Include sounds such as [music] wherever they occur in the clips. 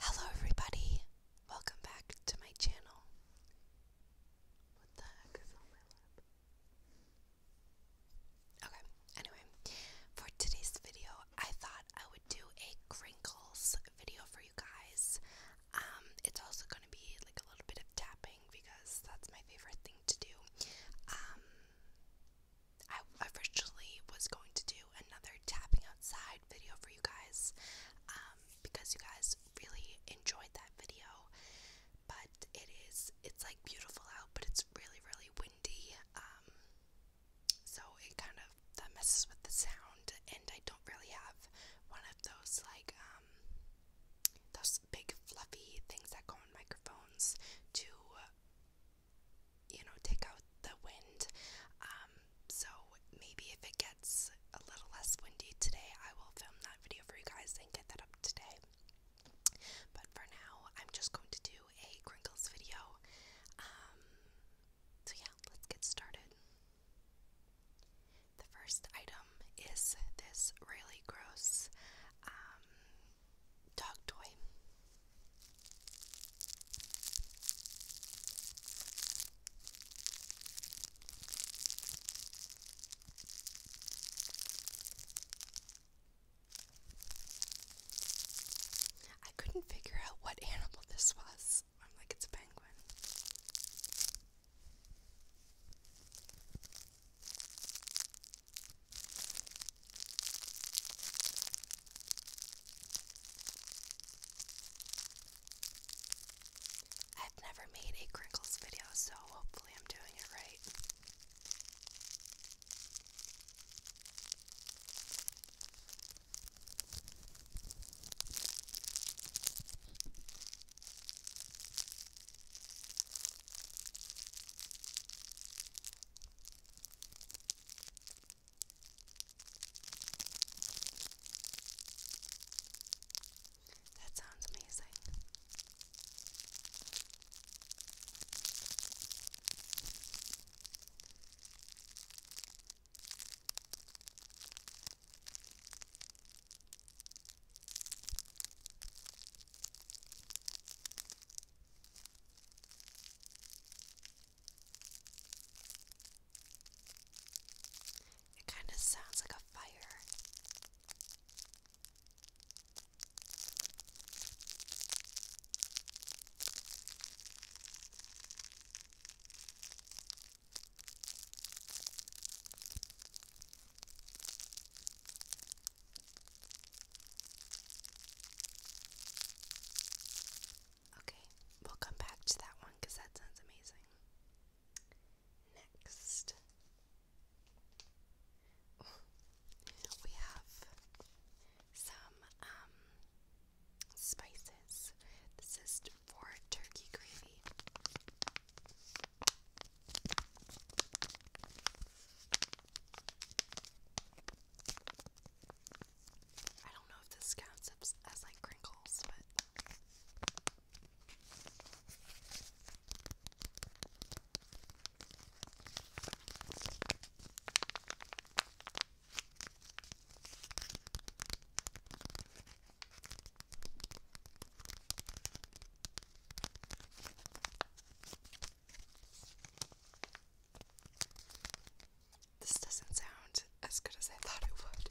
Hello, everybody. Welcome back to my channel. What the heck is on my lap? Okay, anyway, for today's video, I thought I would do a crinkles video for you guys. Um, it's also going to be like a little bit of tapping because that's my favorite thing to do. Um, I originally was going to do another tapping outside video for you guys um, because you guys really enjoyed that video. But it is, it's like beautiful out, but it's really, really windy. Um, so it kind of that messes with the sound, and I don't really have one of those like um, those big fluffy things that go on microphones to you know, take out the wind. Um, so maybe if it gets a little less windy today, I will film that video for you guys and get that up today. But for now, I'm just going to do a crinkles video. Um, so yeah, let's get started. The first item is this really gross um, dog toy. I couldn't figure out what animal this was. I'm like, it's a penguin. I've never made a crinkles video, so hopefully, I'm doing it right. That sounds amazing. It kind of sounds like a fire. Okay, we'll come back to that one because that sounds amazing. Next, we have some um, spices. This is for turkey gravy. I don't know if this counts as, as like crinkles, but. This doesn't sound as good as I thought it would.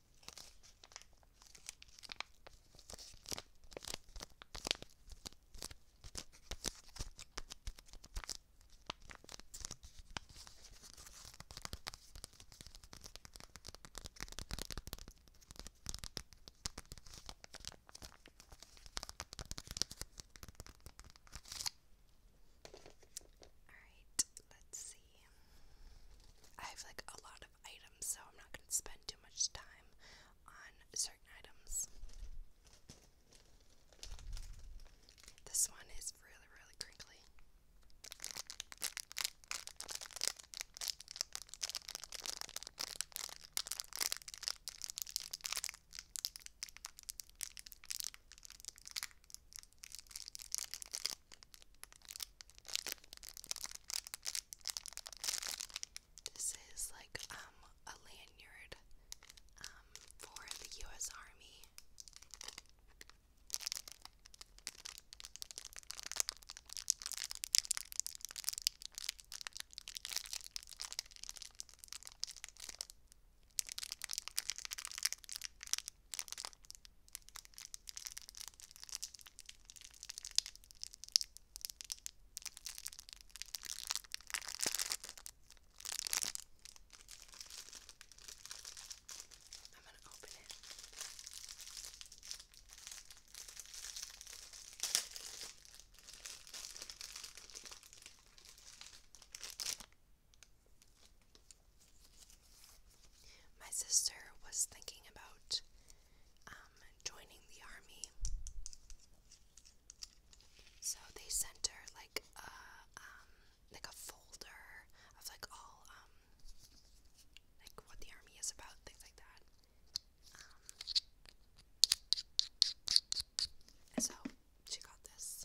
All right, let's see. I have like a lot items, so I'm not going to spend too much time on certain items. This one is really, really crinkly. This is like um a lanyard um for the US Army. I'm going to open it. My sister was thinking about um, um, joining the army. So they sent her like a um, like a folder of like all um, like what the army is about, things like that. Um, so she got this.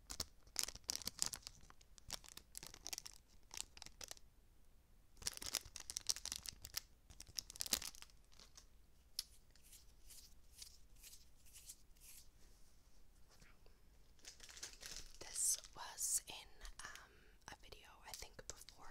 This was in um, a video I think before.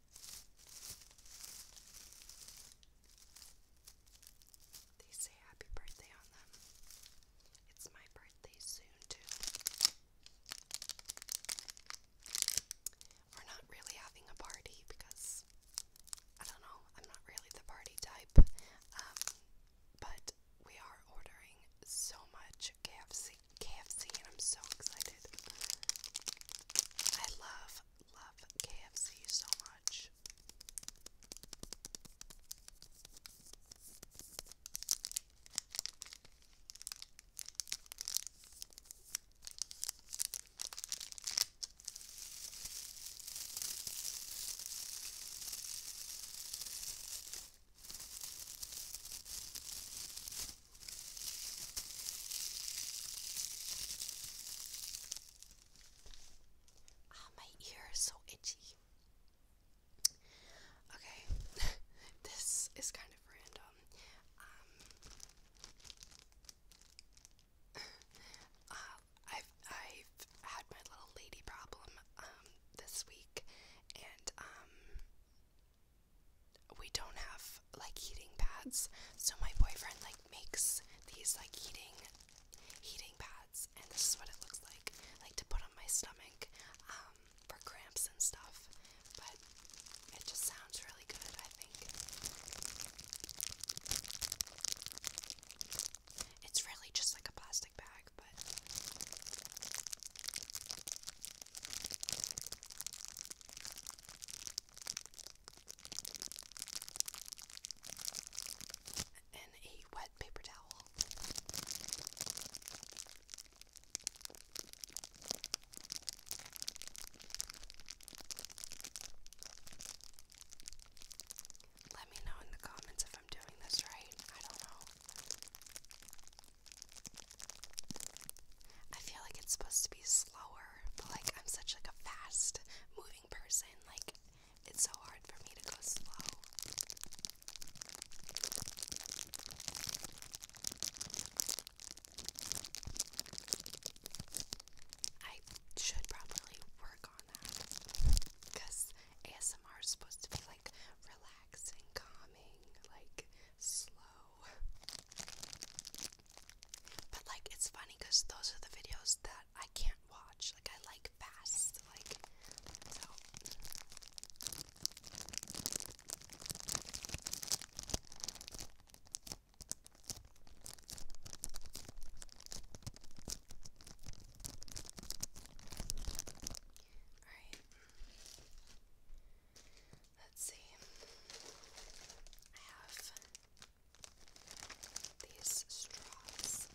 They say happy birthday on them. It's my birthday soon, too. We're not really having a party because I don't know, I'm not really the party type. Um, but we are ordering so much KFC. KFC, and I'm so excited. I love, love KFC so much. Ah, my ear is so itchy. Okay, [laughs] this is kind of random. Um, uh, I've I've had my little lady problem um this week, and um, we don't have like heating pads, so my boyfriend like makes these like heating heating pads, and this is what it looks like, like to put on my stomach um, for cramps and stuff. But it just sounds really good, I think. It's really just like a plastic bag, but and a wet paper towel. Let me know in the comments if I'm doing this right. I don't know. I feel like it's supposed to be slower but like I'm such like a fast moving person, like it's so hard for me to go slow. I should probably work on that because ASMR is supposed to be like relaxing, calming, like slow. But like it's funny because those are the videos that I can't watch. Like I like fast. Like so Alright. Let's see. I have these straws.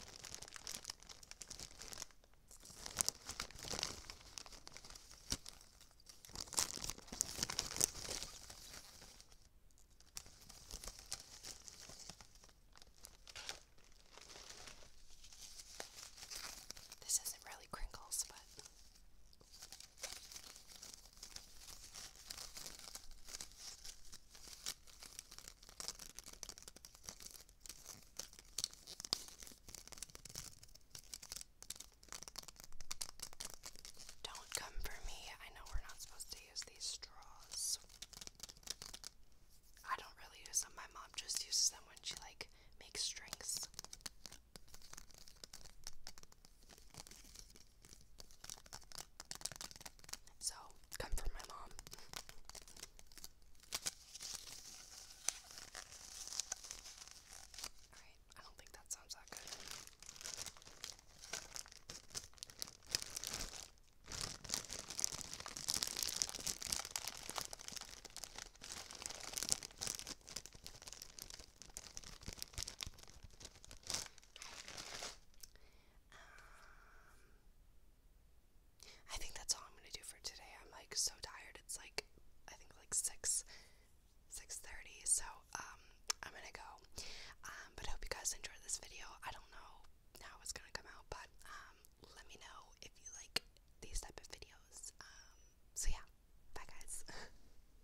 This isn't really crinkles, but don't come for me. I know we're not supposed to use these straws. I don't really use them. My mom just uses them when she like makes drinks. So, come from my mom. Alright, I don't think that sounds that good. Um, I think that's all I'm gonna do for today. I'm like so tired. It's like I think like six, six thirty. So um, I'm gonna go. Um, but I hope you guys enjoyed this video. I don't know how it's gonna come out, but um, let me know if you like these type of videos. Um, so yeah, bye guys. [laughs]